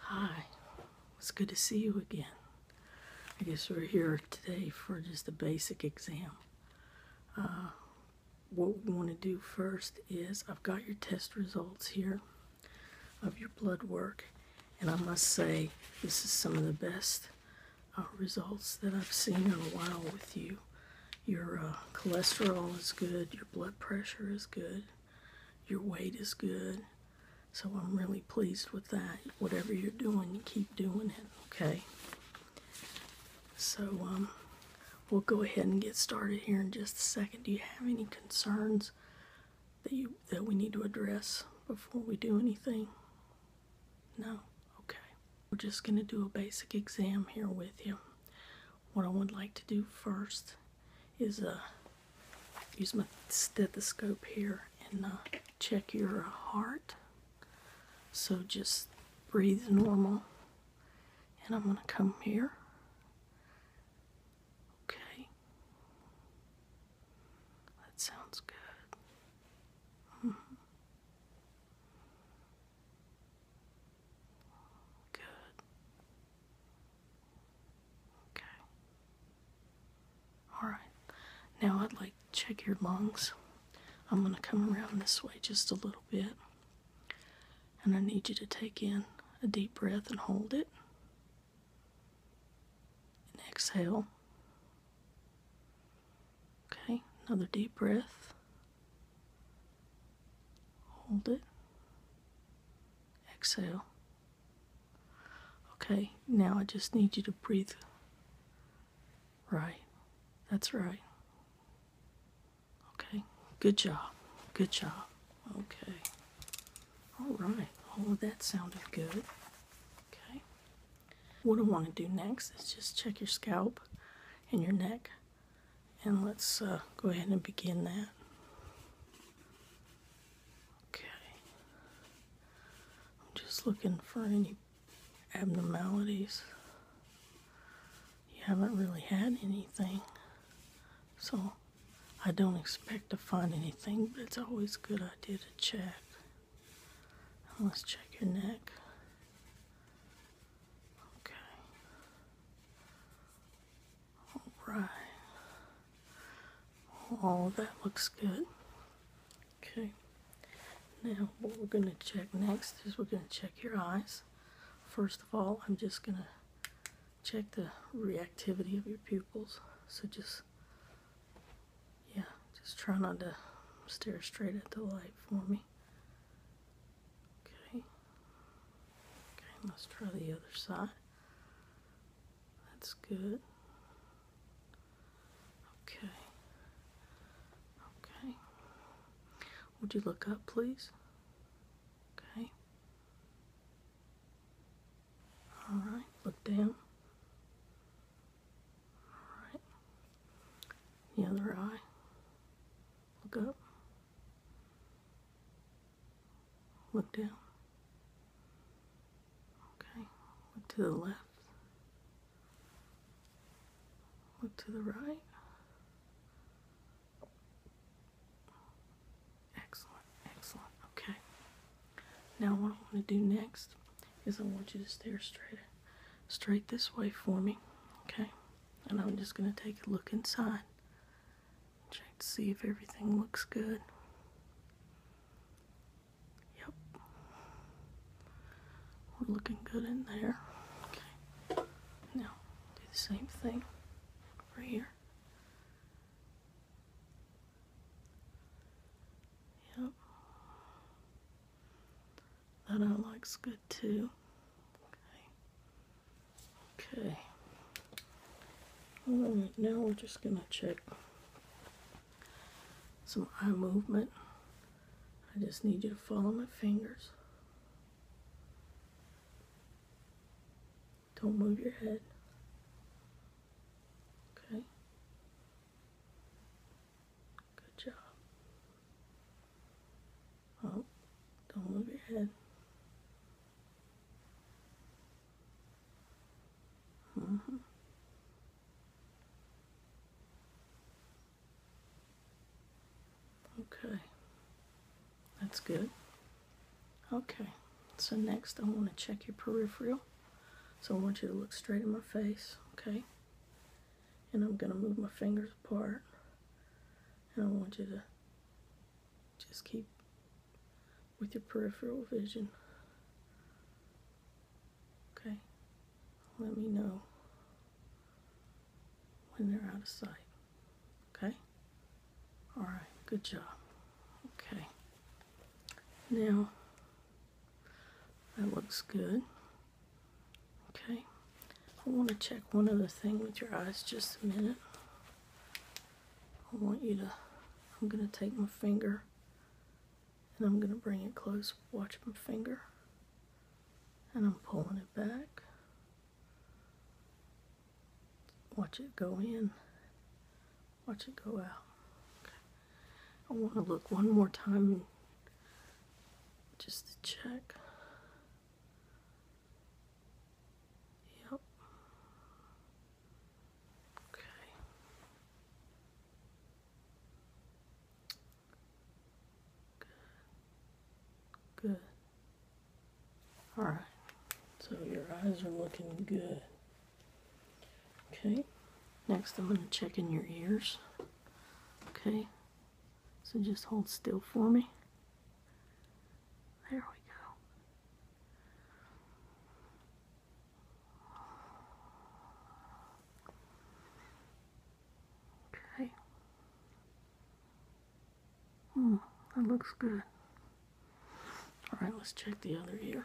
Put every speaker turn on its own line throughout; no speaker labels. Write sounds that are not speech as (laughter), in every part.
Hi, it's good to see you again. I guess we're here today for just a basic exam. Uh, what we want to do first is I've got your test results here of your blood work, and I must say this is some of the best uh, results that I've seen in a while with you. Your uh, cholesterol is good, your blood pressure is good, your weight is good. So I'm really pleased with that. Whatever you're doing, you keep doing it, okay? So um, we'll go ahead and get started here in just a second. Do you have any concerns that you that we need to address before we do anything? No? Okay. We're just going to do a basic exam here with you. What I would like to do first is uh, use my stethoscope here and uh, check your heart. So just breathe normal. And I'm going to come here. Okay. That sounds good. Mm-hmm. Good. Okay. Alright. Now I'd like to check your lungs. I'm going to come around this way just a little bit. And I need you to take in a deep breath and hold it. And exhale. Okay, another deep breath. Hold it. Exhale. Okay, now I just need you to breathe. Right. That's right. Okay, good job. Good job. Okay. All right. Oh, that sounded good. Okay. What I want to do next is just check your scalp and your neck and let's uh, go ahead and begin that. Okay, I'm just looking for any abnormalities. You haven't really had anything, so I don't expect to find anything, but it's always a good idea to check. let's check your neck. Okay. Alright. All that looks good. Okay. Now, what we're going to check next is we're going to check your eyes. First of all, I'm just going to check the reactivity of your pupils. So just, yeah, just try not to stare straight at the light for me. Okay. Okay, let's try the other side. That's good. Okay. Okay. Would you look up, please? Okay. All right, look down. All right. The other eye. Look up. Look down. Okay. Look to the left. Look to the right. Excellent. Excellent. Okay. Now what I want to do next is I want you to stare straight straight this way for me. Okay? and I'm just going to take a look inside. Check to see if everything looks good. Yep. We're looking good in there. Okay. Now, do the same thing right here. Yep. That out looks good too. Okay. Okay. Alright, now we're just gonna check some eye movement. I just need you to follow my fingers. Don't move your head. Okay. Good job. Oh, don't move your head. Mm -hmm. Okay, that's good. Okay, so next I want to check your peripheral. So I want you to look straight in my face, okay? And I'm going to move my fingers apart. And I want you to just keep with your peripheral vision. Okay? Let me know when they're out of sight. Okay? Alright, good job. Okay. Now, that looks good. Okay, I want to check one other thing with your eyes just a minute. I want you to, I'm going to take my finger and I'm going to bring it close. Watch my finger and I'm pulling it back. Watch it go in. Watch it go out. Okay. I want to look one more time just to check. Yep. Okay. Good. Good. All right. So your eyes are looking good. Okay. Next, I'm going to check in your ears. Okay, so just hold still for me. There we go. Okay. Hmm, that looks good. Alright, let's check the other ear.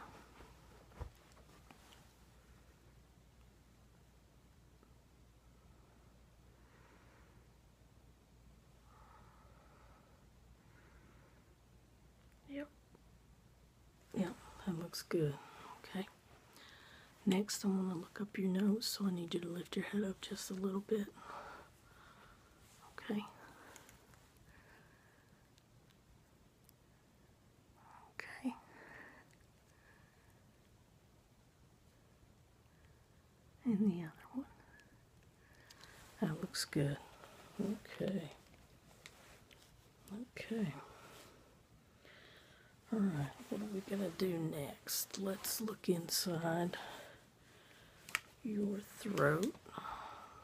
Yep. Yep, that looks good. Okay. Next, I'm going to look up your nose, so I need you to lift your head up just a little bit. Okay. Okay. And the other one. That looks good. Okay. Okay. Alright, what are we going to do next? Let's look inside your throat.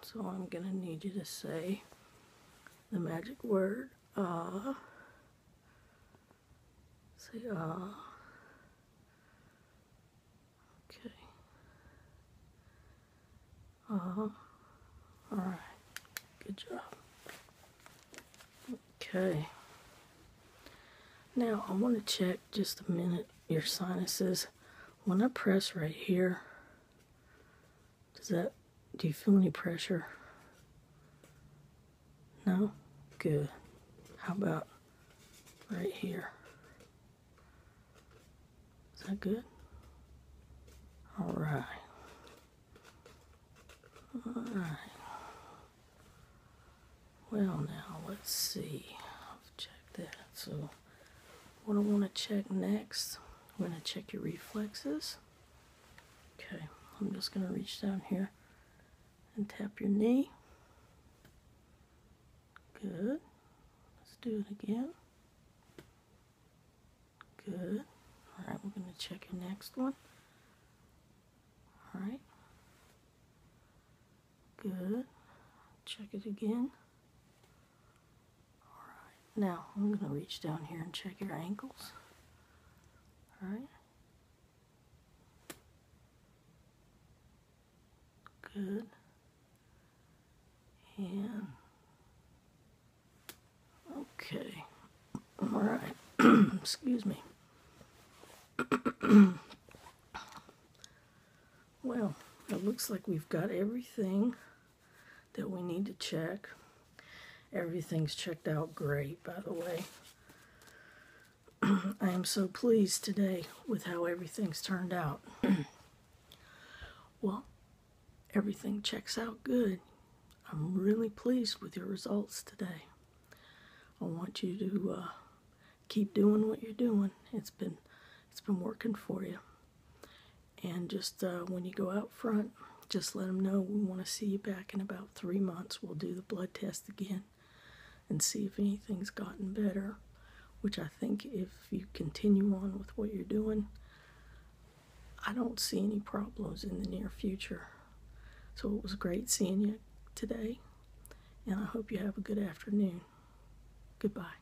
So I'm going to need you to say the magic word ah. Say ah. Okay. Ah. Uh, Alright. Good job. Okay. Now I want to check just a minute your sinuses. When I press right here, does that, do you feel any pressure? No? Good. How about right here? Is that good? All right. All right. Well, now, let's see. I've checked that. So, what I want to check next, I'm going to check your reflexes. Okay, I'm just going to reach down here and tap your knee. Good. Let's do it again. Good. All right, we're going to check your next one. All right. Good. Check it again. Alright, now I'm going to reach down here and check your ankles. Alright. Good. And. Okay. Alright. (clears throat) Excuse me. (clears throat) well, it looks like we've got everything that we need to check. Everything's checked out great, by the way. (clears throat) I am so pleased today with how everything's turned out. (clears throat) well, everything checks out good. I'm really pleased with your results today. I want you to uh, keep doing what you're doing. It's been it's been working for you and just uh, when you go out front, just let them know we want to see you back in about three months. We'll do the blood test again and see if anything's gotten better. Which I think if you continue on with what you're doing, I don't see any problems in the near future. So it was great seeing you today, and I hope you have a good afternoon. Goodbye.